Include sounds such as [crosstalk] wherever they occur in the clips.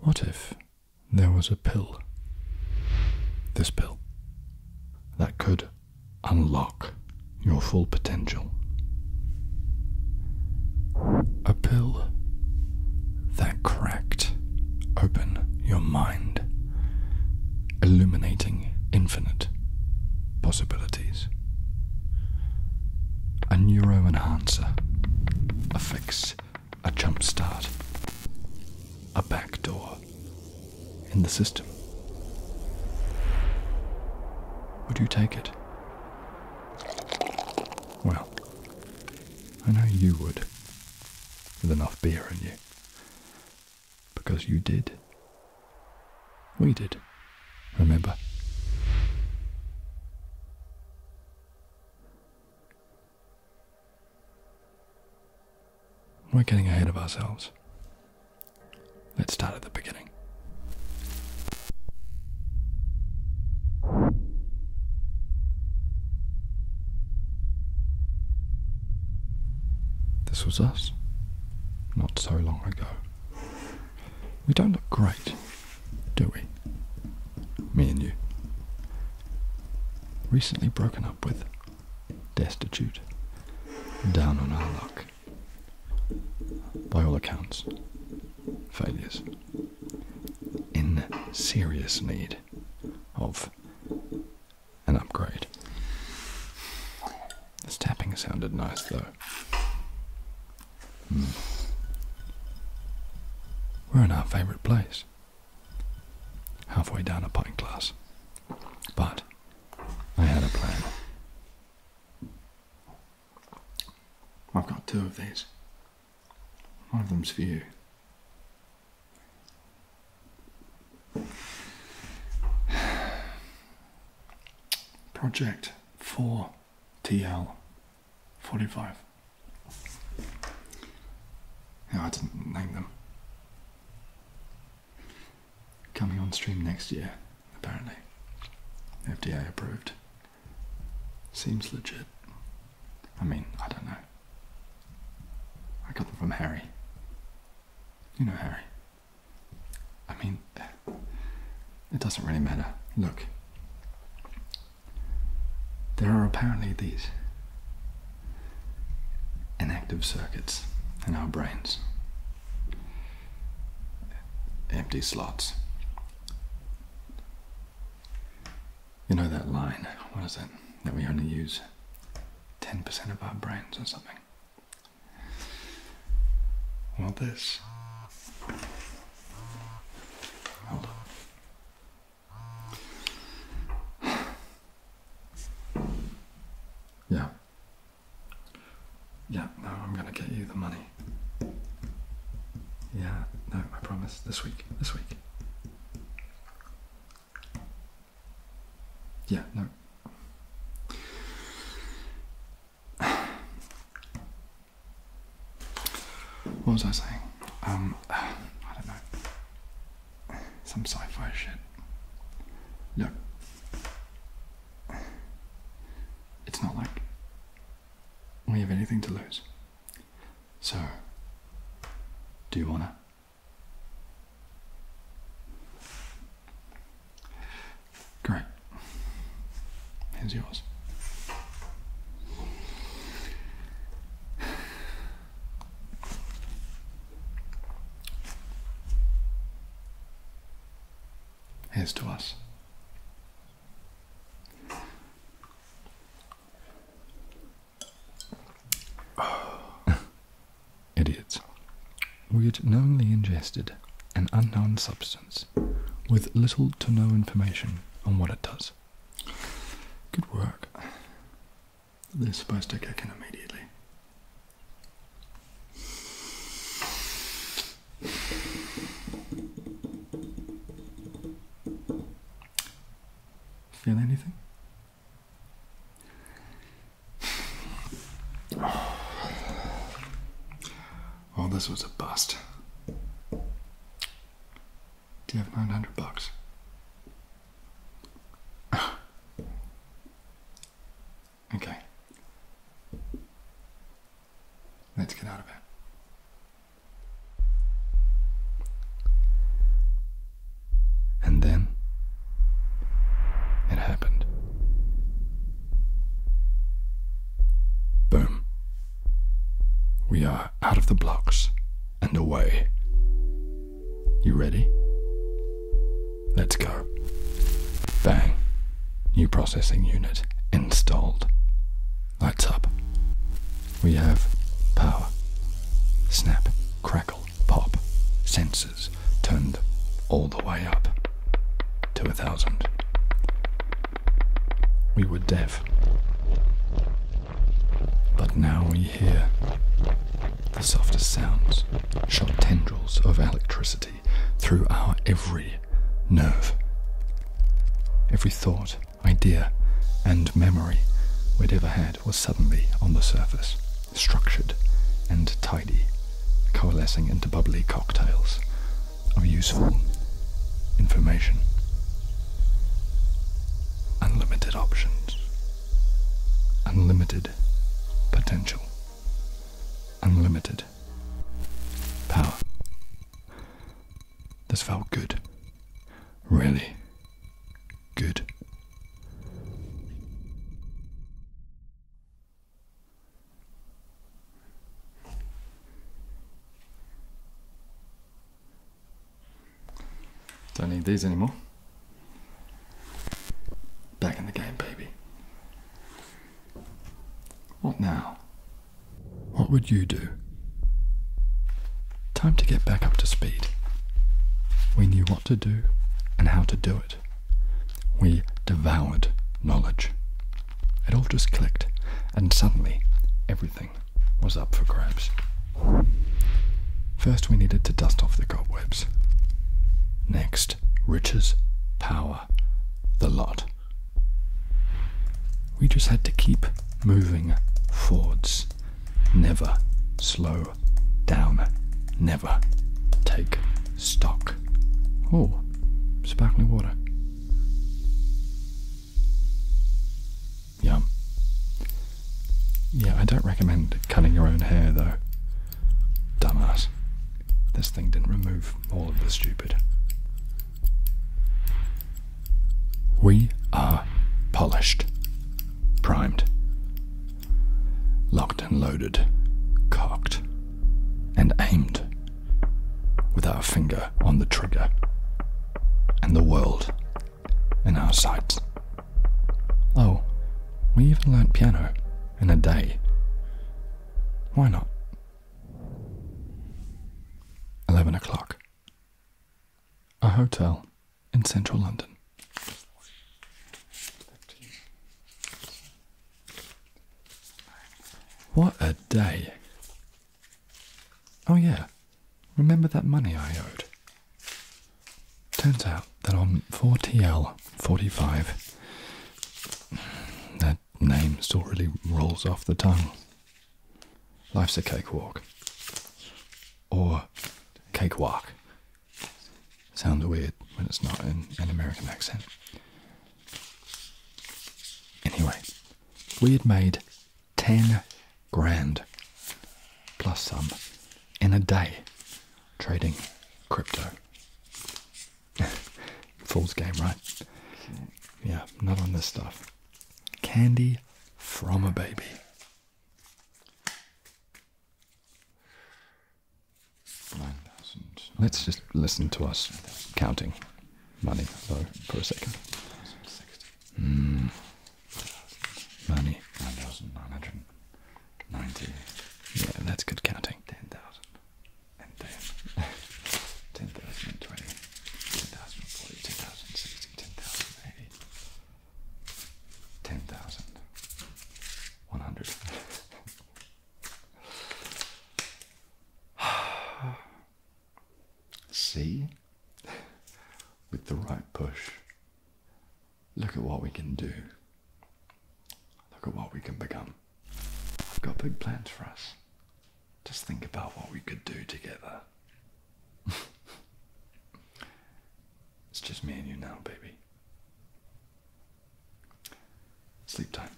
What if there was a pill? This pill that could unlock your full potential. A pill that cracked open your mind, illuminating infinite possibilities. A neuroenhancer, a fix a jump start, a backdoor in the system? Would you take it? Well, I know you would, with enough beer in you. Because you did. We did, remember? We're getting ahead of ourselves. Let's start at the beginning. This was us not so long ago. We don't look great do we? Me and you. Recently broken up with, destitute, down on our luck. By all accounts, failures. In serious need of an upgrade. This tapping sounded nice though. Hmm. We're in our favourite place, halfway down a pint glass. But I had a plan. I've got two of these. One of them's for you. [sighs] Project 4TL 45. No, I didn't name them. Coming on stream next year, apparently. FDA approved. Seems legit. I mean, I don't know. I got them from Harry. You know Harry. I mean, it doesn't really matter. Look, there are apparently these inactive circuits in our brains, empty slots. You know that line, what is it, that we only use 10% of our brains or something? Well, this yeah. Yeah, no, I'm gonna get you the money. Yeah, no, I promise. This week. This week. Yeah, no what was I saying? Um, I don't know. Some sci-fi shit. Look, it's not like we have anything to lose. So, do you wanna? Great. Here's yours. Here's to us. [sighs] Idiots we had knowingly ingested an unknown substance with little to no information on what it does. Good work. They're supposed to kick in immediately. Feel anything? All this was a bust. Do you have 900 bucks? [sighs] okay. Let's get out of here. And then it happened. Boom. We are out of the blocks and away. You ready? Let's go. Bang. New processing unit installed. Lights up. We have power. Snap, crackle, pop, sense turned all the way up to a thousand. We were deaf, but now we hear the softest sounds, shot tendrils of electricity through our every nerve. Every thought, idea, and memory we'd ever had was suddenly on the surface structured and tidy, coalescing into bubbly cocktails of useful information. Unlimited options, unlimited potential, unlimited power. This felt good. Really good. Don't need these anymore. Back in the game, baby. What now? What would you do? Time to get back up to speed. We knew what to do and how to do it. We devoured knowledge. It all just clicked, and suddenly everything was up for grabs. First, we needed to dust off the cobwebs. Next, riches, power, the lot. We just had to keep moving forwards, never slow down, never take stock. Oh, sparkling water. Yum. Yeah, I don't recommend cutting your own hair though. Dumbass. This thing didn't remove all of the stupid. We are polished, primed, Locked and loaded, cocked and aimed, with our finger on the trigger, and the world in our sights. Oh, we even learnt piano in a day. Why not? 11 o'clock. A hotel in central London. What a day! Oh, yeah, remember that money I owed? Turns out that on 4TL45, that name still really rolls off the tongue. Life's a cakewalk. Or cakewalk, Sounds weird when it's not in an American accent. Anyway, we had made 10 grand plus some in a day trading crypto. [laughs] Fool's game, right? Yeah, not on this stuff. Candy from a baby. Nine thousand. Let's just listen to us counting money though for a second. Mm. Money. Nine thousand nine hundred ninety. Yeah, that's good counting. Ten thousand and ten. [laughs] ten thousand twenty. Ten thousand forty. Ten thousand sixty. Ten thousand eighty ten thousand one hundred. [sighs] See, with the right push, look at what we can do. Look at what we can become. I've got big plans for us. Just think about what we could do together. [laughs] it's just me and you now, baby. Sleep time.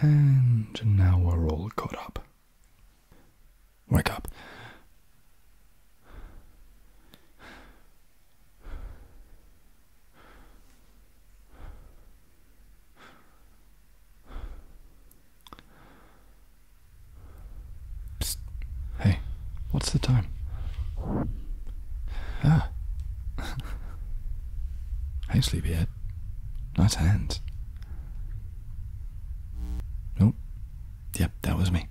And now we're all caught up. Wake up. Hey, what's the time? Ah. [laughs] hey, sleepyhead. Nice hands. Nope. Yep, that was me.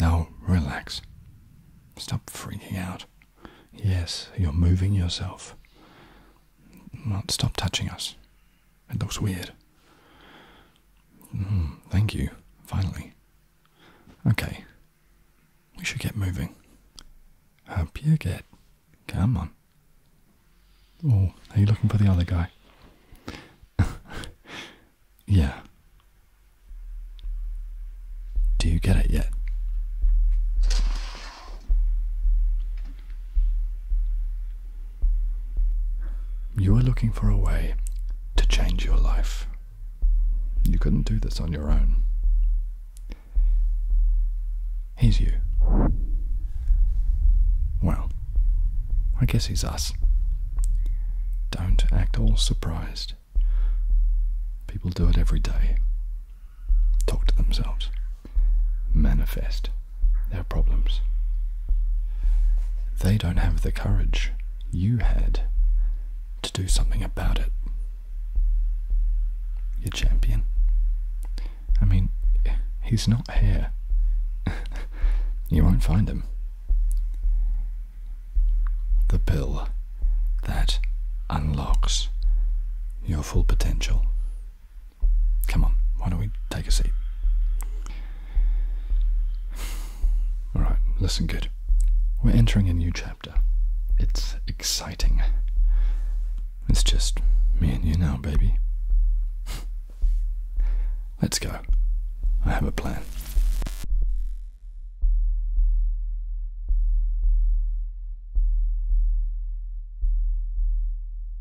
Now relax. Stop freaking out. Yes, you're moving yourself. Not stop touching us. It looks weird. Hmm, thank you, finally. Okay, we should get moving. Up you get. Come on. Oh, are you looking for the other guy? [laughs] yeah. Do you get it yet? You were looking for a way to change your life. You couldn't do this on your own. He's you. Well, I guess he's us. Don't act all surprised. People do it every day. Talk to themselves manifest their problems. They don't have the courage you had to do something about it. Your champion. I mean, he's not here. [laughs] you won't find him. The pill that unlocks your full potential Come on, why don't we take a seat? Alright, listen good. We're entering a new chapter. It's exciting. It's just me and you now, baby. [laughs] Let's go. I have a plan.